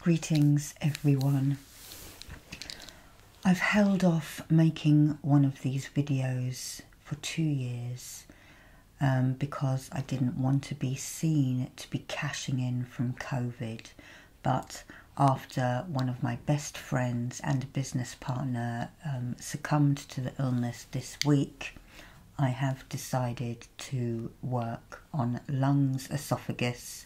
Greetings, everyone. I've held off making one of these videos for two years um, because I didn't want to be seen to be cashing in from COVID. But after one of my best friends and business partner um, succumbed to the illness this week, I have decided to work on lungs, esophagus,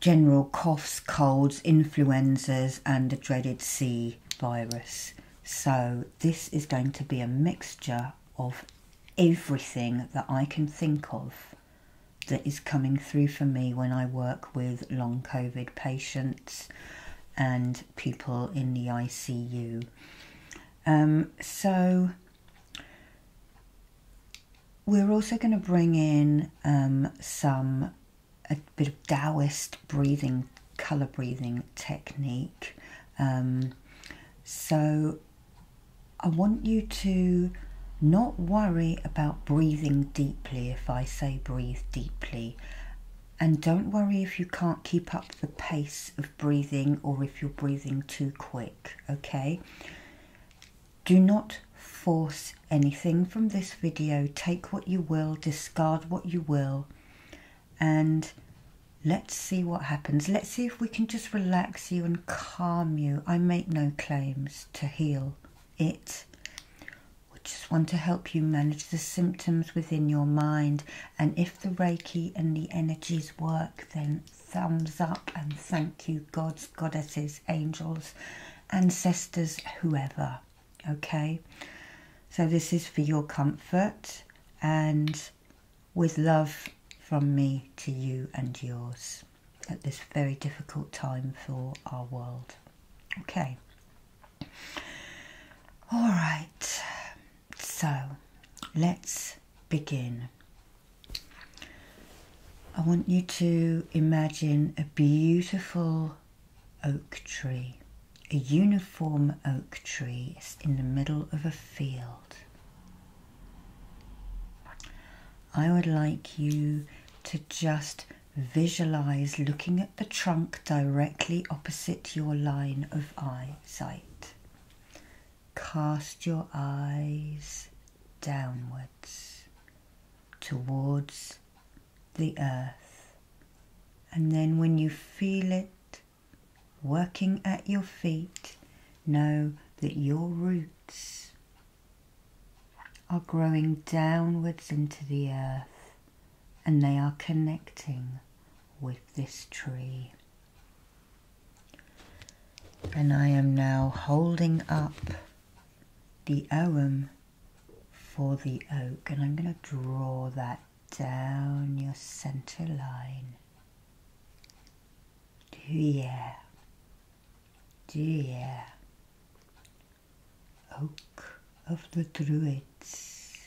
general coughs, colds, influenzas, and the dreaded C virus. So, this is going to be a mixture of everything that I can think of that is coming through for me when I work with long COVID patients and people in the ICU. Um, so we're also going to bring in um, some a bit of Taoist breathing, color breathing technique. Um, so I want you to not worry about breathing deeply if I say breathe deeply. And don't worry if you can't keep up the pace of breathing or if you're breathing too quick. Okay, do not force anything from this video, take what you will, discard what you will, and let's see what happens. Let's see if we can just relax you and calm you. I make no claims to heal it. I just want to help you manage the symptoms within your mind and if the Reiki and the energies work, then thumbs up and thank you, gods, goddesses, angels, ancestors, whoever. Okay? So this is for your comfort and with love from me to you and yours at this very difficult time for our world. Okay. All right. So let's begin. I want you to imagine a beautiful oak tree, a uniform oak tree in the middle of a field. I would like you to just visualize looking at the trunk directly opposite your line of eyesight. Cast your eyes downwards towards the earth, and then when you feel it working at your feet, know that your roots are growing downwards into the earth and they are connecting with this tree. And I am now holding up the Oum for the oak, and I'm going to draw that down your center line. Do yeah, do yeah. Oak of the Druids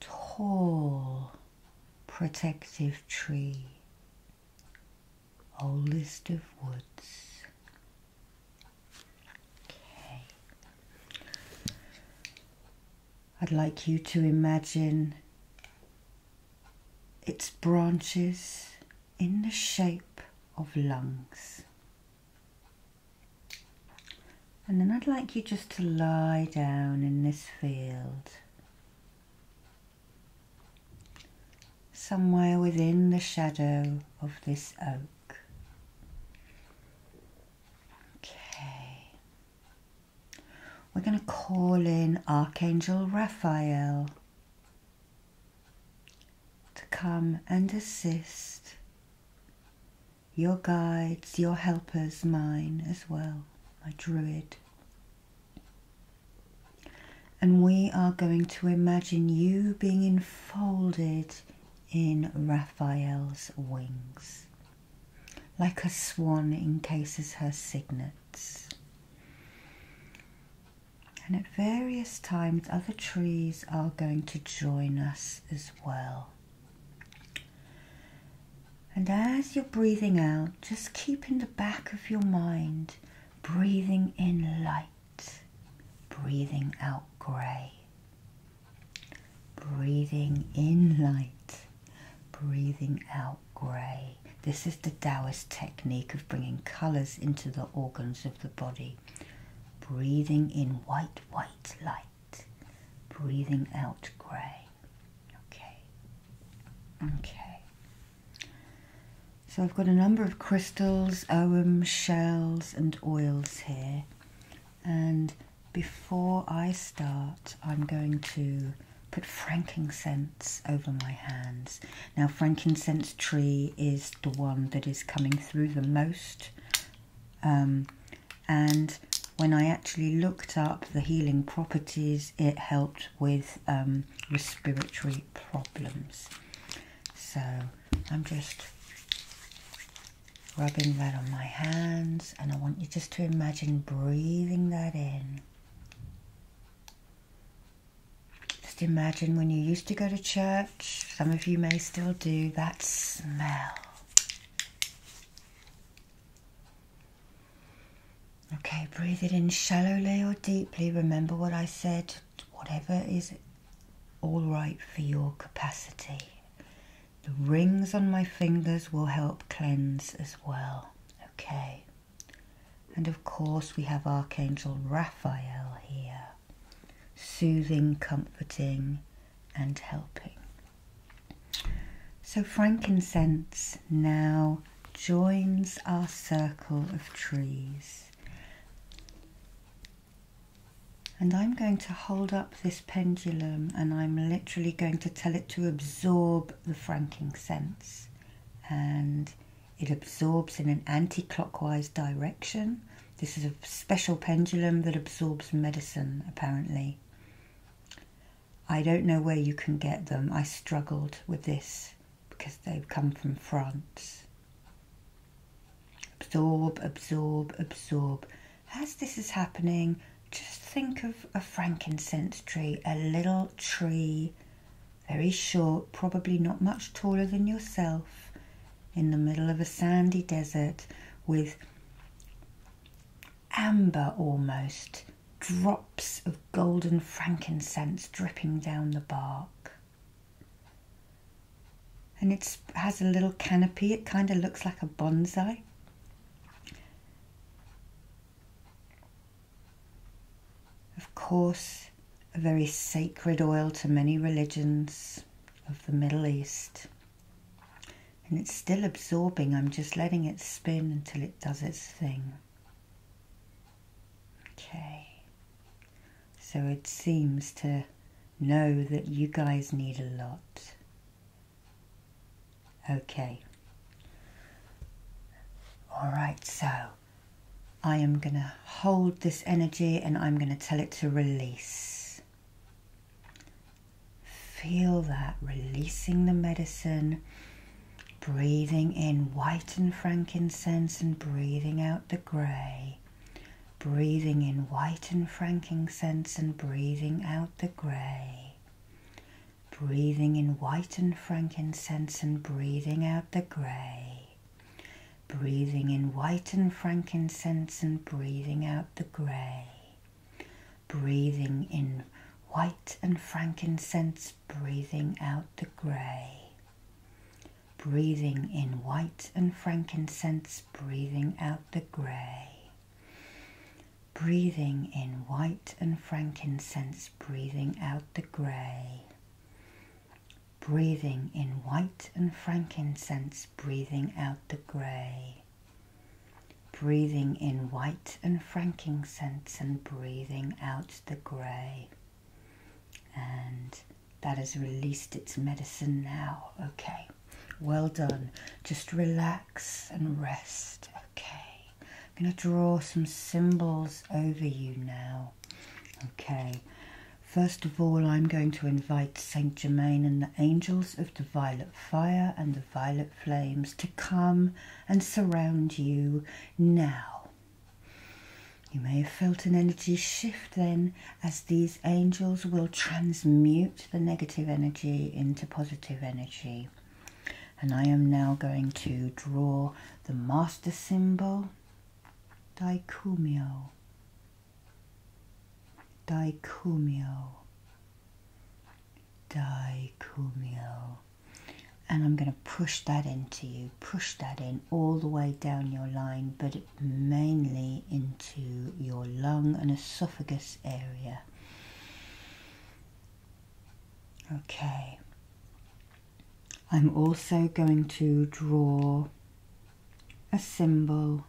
tall protective tree, oldest of woods. Okay. I'd like you to imagine its branches in the shape of lungs. And then I'd like you just to lie down in this field. Somewhere within the shadow of this oak. Okay. We're going to call in Archangel Raphael to come and assist your guides, your helpers, mine as well, my druid. And we are going to imagine you being enfolded in Raphael's wings, like a swan encases her cygnets. And at various times, other trees are going to join us as well. And as you're breathing out, just keep in the back of your mind breathing in light, breathing out grey, breathing in light, breathing out grey. This is the Taoist technique of bringing colours into the organs of the body breathing in white, white light, breathing out grey. Okay, okay. So I've got a number of crystals, ohm, shells, and oils here, and before I start, I'm going to put frankincense over my hands. Now, frankincense tree is the one that is coming through the most um, and when I actually looked up the healing properties, it helped with um, respiratory problems. So I'm just rubbing that on my hands, and I want you just to imagine breathing that in. Just imagine when you used to go to church some of you may still do that smell. Okay, breathe it in shallowly or deeply. Remember what I said, whatever is all right for your capacity. The rings on my fingers will help cleanse as well. Okay. And of course, we have Archangel Raphael here soothing, comforting, and helping. So, frankincense now joins our circle of trees. And I'm going to hold up this pendulum and I'm literally going to tell it to absorb the frankincense. And it absorbs in an anti clockwise direction this is a special pendulum that absorbs medicine, apparently. I don't know where you can get them. I struggled with this because they've come from France. Absorb, absorb, absorb. As this is happening, just think of a frankincense tree, a little tree, very short, probably not much taller than yourself, in the middle of a sandy desert with amber almost drops of golden frankincense dripping down the bark. And it has a little canopy, it kind of looks like a bonsai. Of course, a very sacred oil to many religions of the Middle East. And it's still absorbing, I'm just letting it spin until it does its thing. Okay, so it seems to know that you guys need a lot. Okay. Alright, so I am going to hold this energy and I'm going to tell it to release. Feel that releasing the medicine, breathing in white and frankincense and breathing out the grey. Breathing in white and frankincense and breathing out the grey. Breathing in white and frankincense and breathing out the grey breathing in white and frankincense and breathing out the grey, breathing in white and frankincense, breathing out the grey. Breathing in white and frankincense, breathing out the grey. Breathing in white and frankincense, breathing out the grey breathing in white and frankincense, breathing out the grey. Breathing in white and frankincense and breathing out the grey. And that has released its medicine now. Okay, well done. Just relax and rest. Okay, I'm going to draw some symbols over you now. Okay, first of all, I'm going to invite Saint Germain and the angels of the violet fire and the violet flames to come and surround you now. You may have felt an energy shift then, as these angels will transmute the negative energy into positive energy. And I am now going to draw the master symbol, Daikumio dicumio, dicumio. And I'm going to push that into you, push that in all the way down your line, but mainly into your lung and esophagus area. Okay. I'm also going to draw a symbol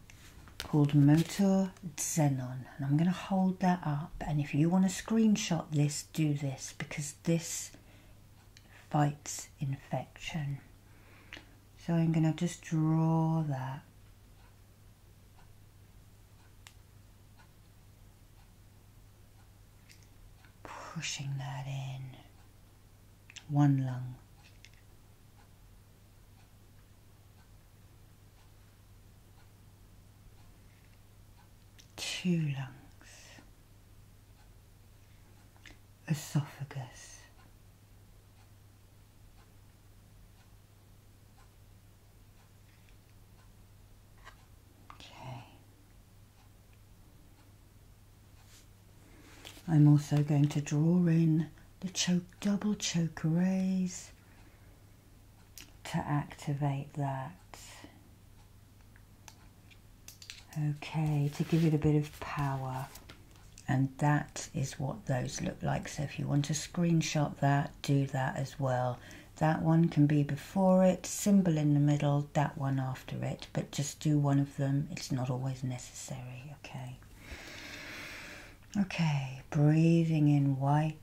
called Motor Xenon, and I'm going to hold that up. And if you want to screenshot this, do this because this fights infection. So I'm going to just draw that. Pushing that in one lung. Two lungs, esophagus, okay, I'm also going to draw in the choke, double choke rays to activate that. Okay, to give it a bit of power. And that is what those look like. So if you want to screenshot that, do that as well. That one can be before it, symbol in the middle, that one after it. But just do one of them. It's not always necessary necessary, okay? Okay, breathing in white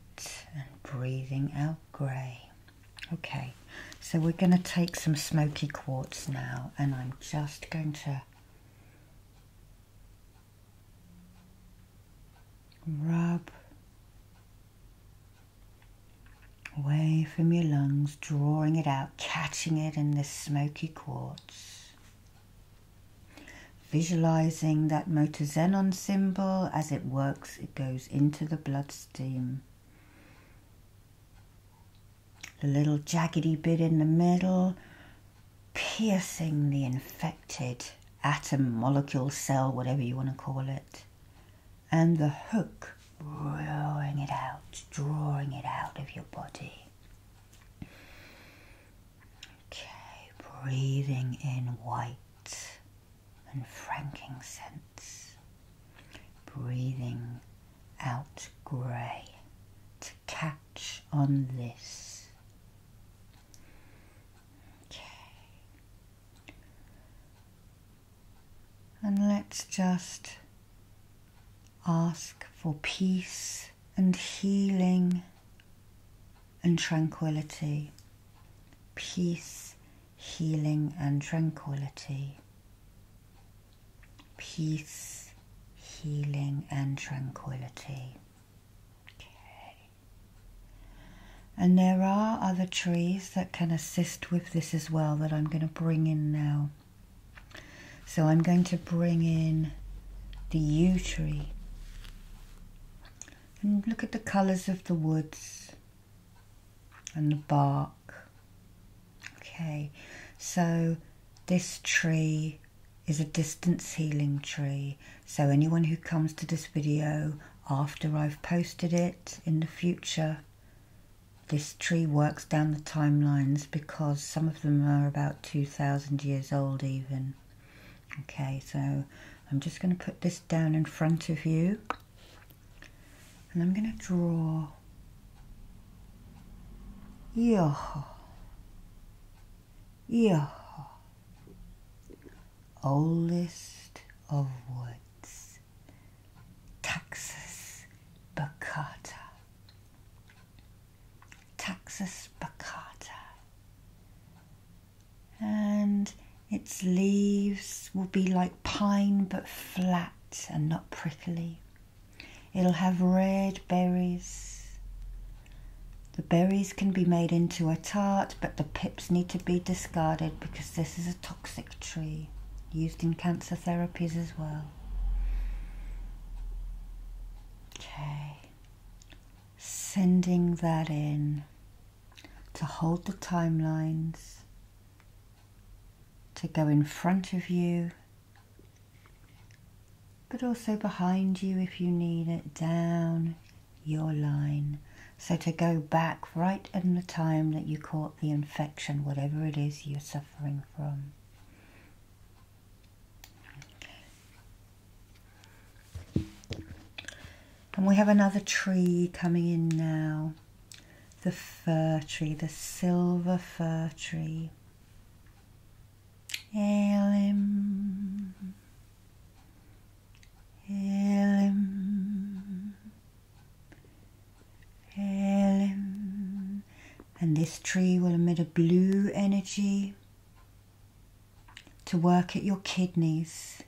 and breathing out grey. Okay, so we're going to take some smoky quartz now, and I'm just going to rub away from your lungs, drawing it out catching it in this smoky quartz. Visualizing that motor xenon symbol as it works, it goes into the blood stream. The little jaggedy bit in the middle, piercing the infected atom, molecule, cell, whatever you want to call it. And the hook, drawing it out, drawing it out of your body. Okay, breathing in white and frankincense, breathing out grey to catch on this. Okay. And let's just Ask for peace and healing and tranquility. Peace, healing, and tranquility. Peace, healing, and tranquility. Okay. And there are other trees that can assist with this as well that I'm going to bring in now. So I'm going to bring in the yew tree and look at the colours of the woods and the bark. Okay, so this tree is a distance healing tree. So anyone who comes to this video after I've posted it in the future this tree works down the timelines because some of them are about 2,000 years old, even. Okay, so I'm just going to put this down in front of you and I'm going to draw. Yeah. Yeah. Oldest of woods. Texas baccata. Taxus baccata. And its leaves will be like pine but flat and not prickly. It'll have red berries. The berries can be made into a tart, but the pips need to be discarded because this is a toxic tree used in cancer therapies as well. Okay, sending that in to hold the timelines, to go in front of you, but also behind you if you need it, down your line. So to go back right in the time that you caught the infection, whatever it is you're suffering from. And we have another tree coming in now. The fir tree, the silver fir tree. Elim. Elim. And this tree will emit a blue energy to work at your kidneys.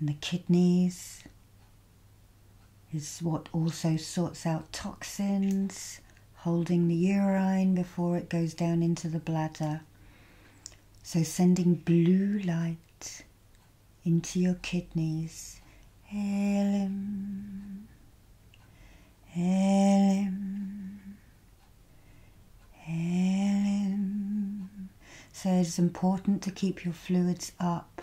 And the kidneys is what also sorts out toxins, holding the urine before it goes down into the bladder. So, sending blue light into your kidneys. Elim, Elim, Elim. So it's important to keep your fluids up.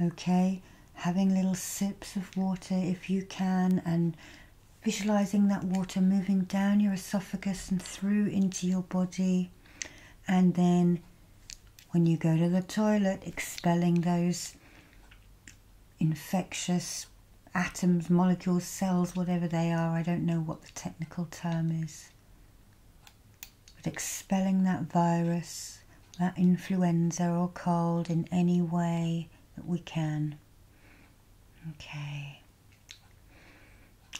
Okay, having little sips of water if you can, and visualizing that water moving down your esophagus and through into your body and then when you go to the toilet, expelling those infectious atoms, molecules, cells, whatever they are, I don't know what the technical term is. But expelling that virus, that influenza or cold in any way that we can. Okay.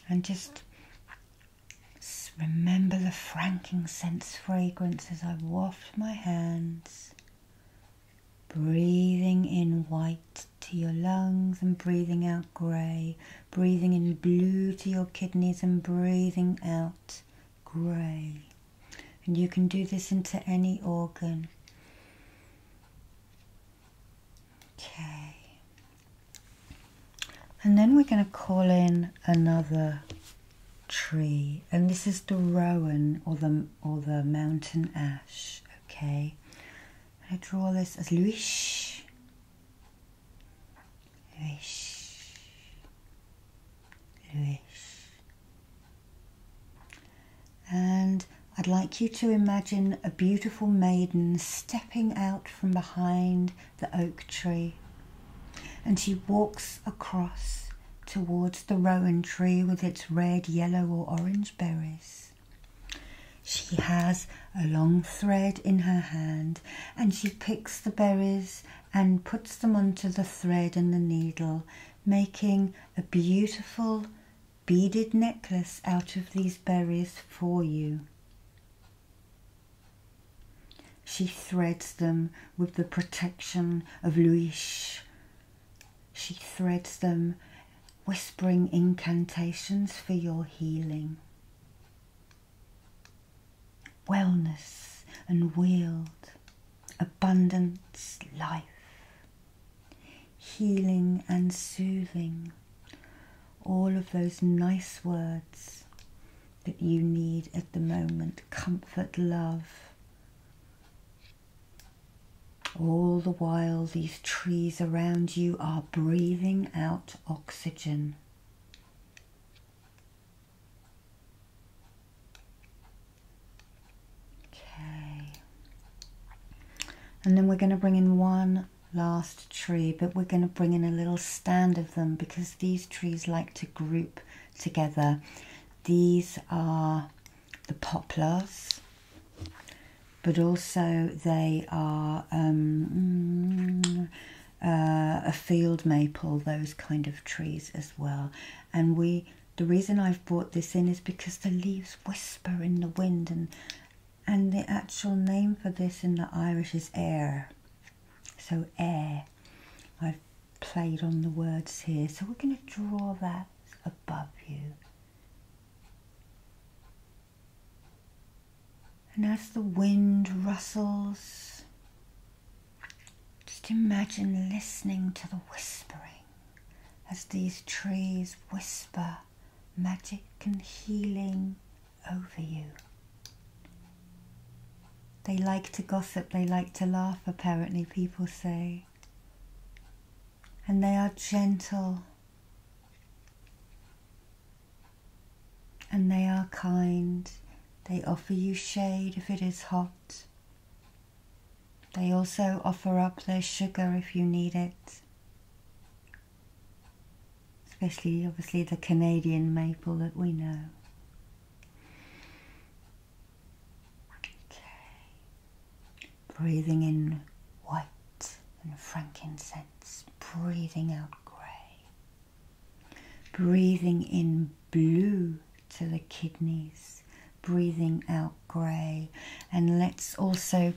And just Remember the frankincense fragrance as I waft my hands, breathing in white to your lungs and breathing out grey, breathing in blue to your kidneys and breathing out grey. And you can do this into any organ. Okay and then we're going to call in another tree and this is the rowan or the or the mountain ash okay i draw this as luish luish luish and I'd like you to imagine a beautiful maiden stepping out from behind the oak tree. And she walks across towards the rowan tree with its red, yellow, or orange berries. She has a long thread in her hand and she picks the berries and puts them onto the thread and the needle, making a beautiful beaded necklace out of these berries for you. She threads them with the protection of Luis. She threads them, whispering incantations for your healing. Wellness and wield, abundance, life, healing and soothing all of those nice words that you need at the moment comfort, love. All the while, these trees around you are breathing out oxygen. Okay. And then we're going to bring in one last tree, but we're going to bring in a little stand of them because these trees like to group together. These are the poplars, but also they are um, mm, uh, a field maple, those kind of trees as well. And we, the reason I've brought this in is because the leaves whisper in the wind, and and the actual name for this in the Irish is air. So air, I've played on the words here. So we're going to draw that above you. And as the wind rustles, just imagine listening to the whispering as these trees whisper magic and healing over you. They like to gossip, they like to laugh, apparently, people say. And they are gentle. And they are kind. They offer you shade if it is hot. They also offer up their sugar if you need it especially obviously the Canadian maple that we know. Okay. Breathing in white and frankincense, breathing out grey. Breathing in blue to the kidneys, breathing out grey. And let's also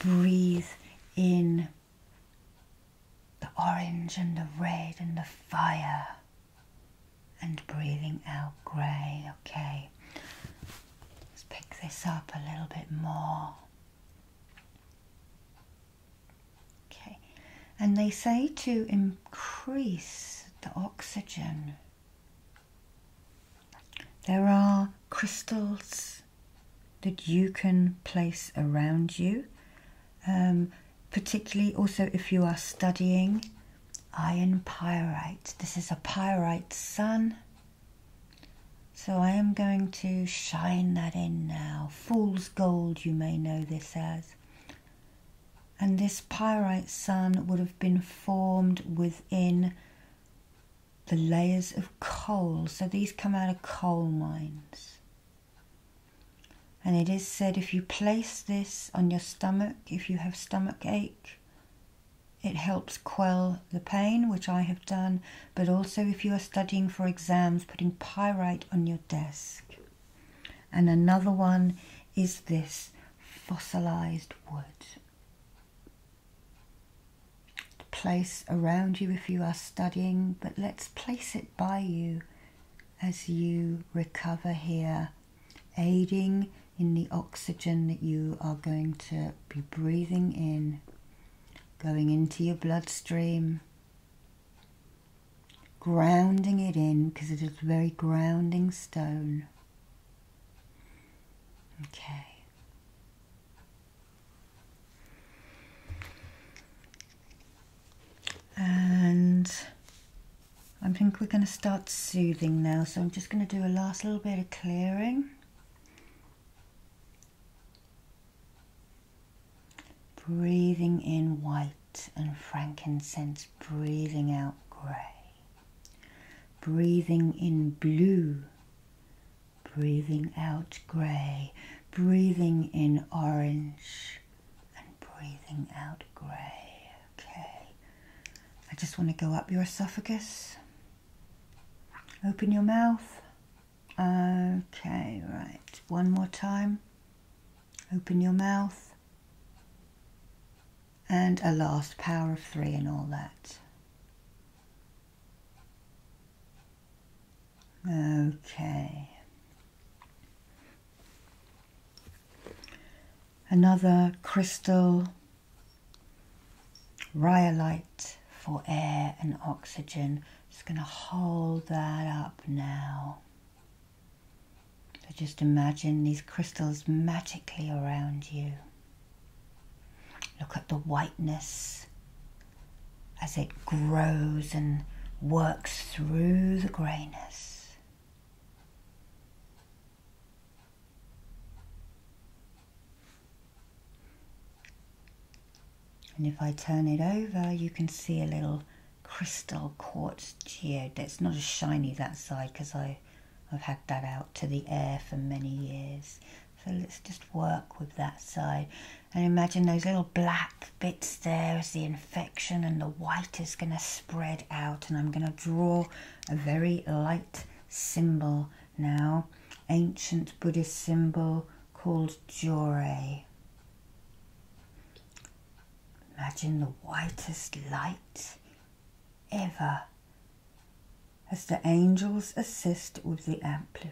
breathe in the orange and the red and the fire, and breathing out grey. Okay, let's pick this up a little bit more. Okay, and they say to increase the oxygen. There are crystals that you can place around you, um, particularly also if you are studying iron pyrite. This is a pyrite sun. So I am going to shine that in now. Fool's gold, you may know this as. And this pyrite sun would have been formed within the layers of coal. So these come out of coal mines. And it is said if you place this on your stomach, if you have stomach ache, it helps quell the pain, which I have done, but also if you are studying for exams, putting pyrite on your desk. And another one is this fossilized wood. To place around you if you are studying, but let's place it by you as you recover here, aiding in the oxygen that you are going to be breathing in, going into your bloodstream, grounding it in because it is a very grounding stone. Okay. And I think we're going to start soothing now. So I'm just going to do a last little bit of clearing. Breathing in white and frankincense, breathing out grey, breathing in blue, breathing out grey, breathing in orange and breathing out grey. Okay, I just want to go up your esophagus. Open your mouth. Okay, right. One more time. Open your mouth. And a last power of three and all that. Okay. Another crystal rhyolite for air and oxygen. Just going to hold that up now. So just imagine these crystals magically around you. Look at the whiteness as it grows and works through the greyness. And if I turn it over, you can see a little crystal quartz geode. It's not as shiny that side because I, I've had that out to the air for many years. So let's just work with that side. And imagine those little black bits there as the infection and the white is going to spread out. And I'm going to draw a very light symbol now, ancient Buddhist symbol called Jure. Imagine the whitest light ever as the angels assist with the ampli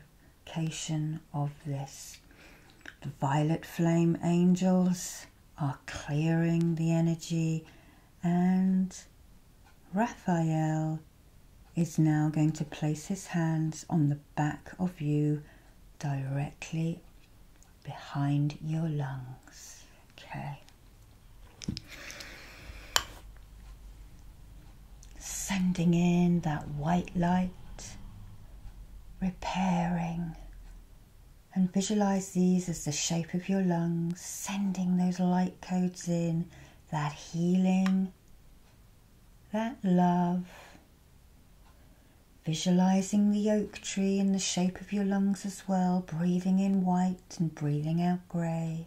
of this. The violet flame angels are clearing the energy, and Raphael is now going to place his hands on the back of you directly behind your lungs. Okay sending in that white light, repairing, and visualize these as the shape of your lungs, sending those light codes in, that healing, that love. Visualizing the oak tree in the shape of your lungs as well, breathing in white and breathing out grey,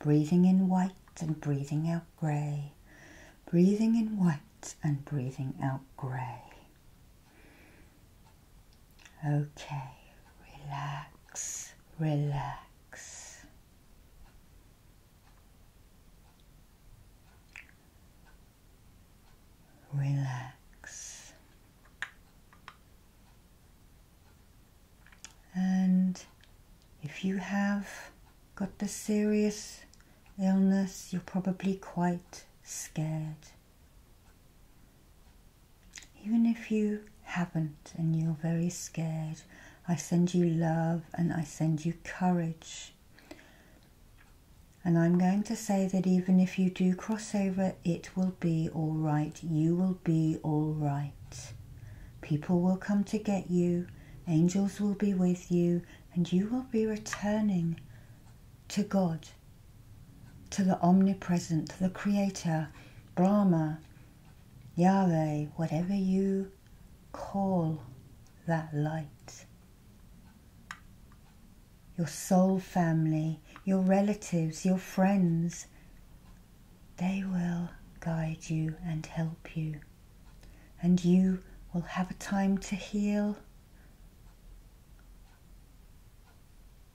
breathing in white and breathing out grey, breathing in white and breathing out grey. Okay, relax, relax. Relax and if you have got the serious illness, you're probably quite scared. Even if you haven't and you're very scared, I send you love and I send you courage. And I'm going to say that even if you do crossover, it will be all right. You will be all right. People will come to get you. Angels will be with you and you will be returning to God, to the omnipresent, the creator, Brahma, Yahweh, whatever you call that light. Your soul family, your relatives, your friends, they will guide you and help you and you will have a time to heal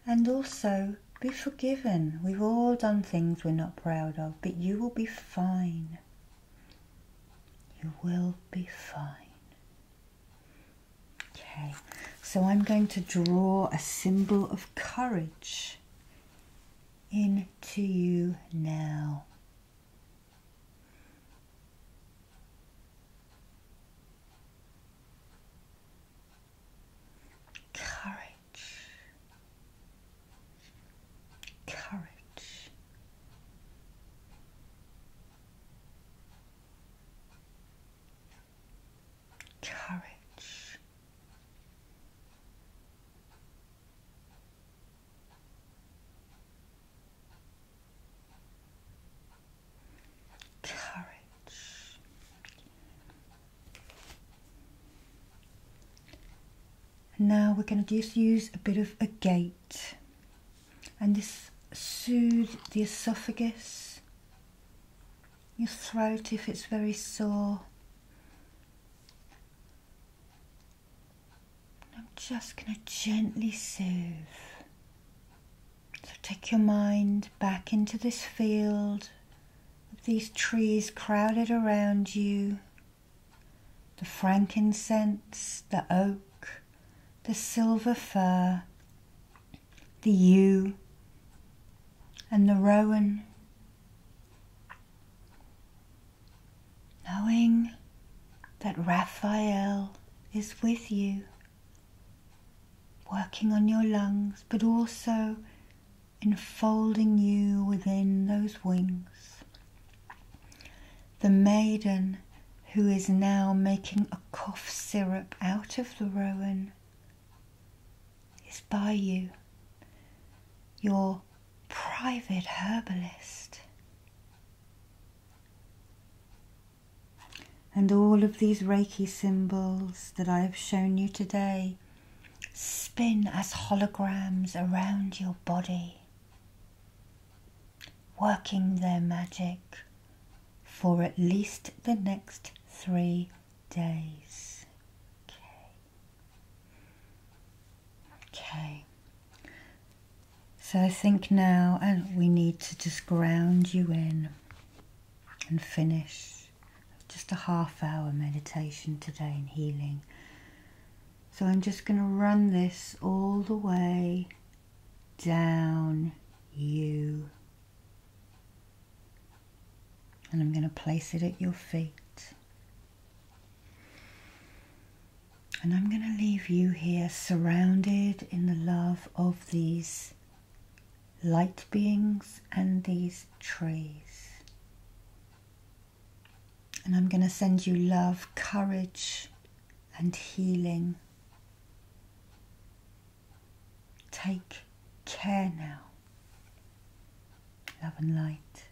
and also be forgiven. We've all done things we're not proud of, but you will be fine. You will be fine. Okay, so I'm going to draw a symbol of courage into you now. Courage, courage, courage. Courage. Now we're going to just use a bit of a gate and this soothes the esophagus, your throat if it's very sore. I'm just going to gently soothe. So take your mind back into this field these trees crowded around you the frankincense, the oak, the silver fir, the yew, and the rowan knowing that Raphael is with you, working on your lungs, but also enfolding you within those wings. The maiden who is now making a cough syrup out of the rowan is by you. Your private herbalist. And all of these Reiki symbols that I have shown you today spin as holograms around your body, working their magic for at least the next three days. Okay. So I think now uh, we need to just ground you in and finish just a half hour meditation today in healing. So I'm just going to run this all the way down you. And I'm going to place it at your feet. And I'm going to leave you here surrounded in the love of these light beings and these trees. And I'm going to send you love, courage, and healing. Take care now. Love and light.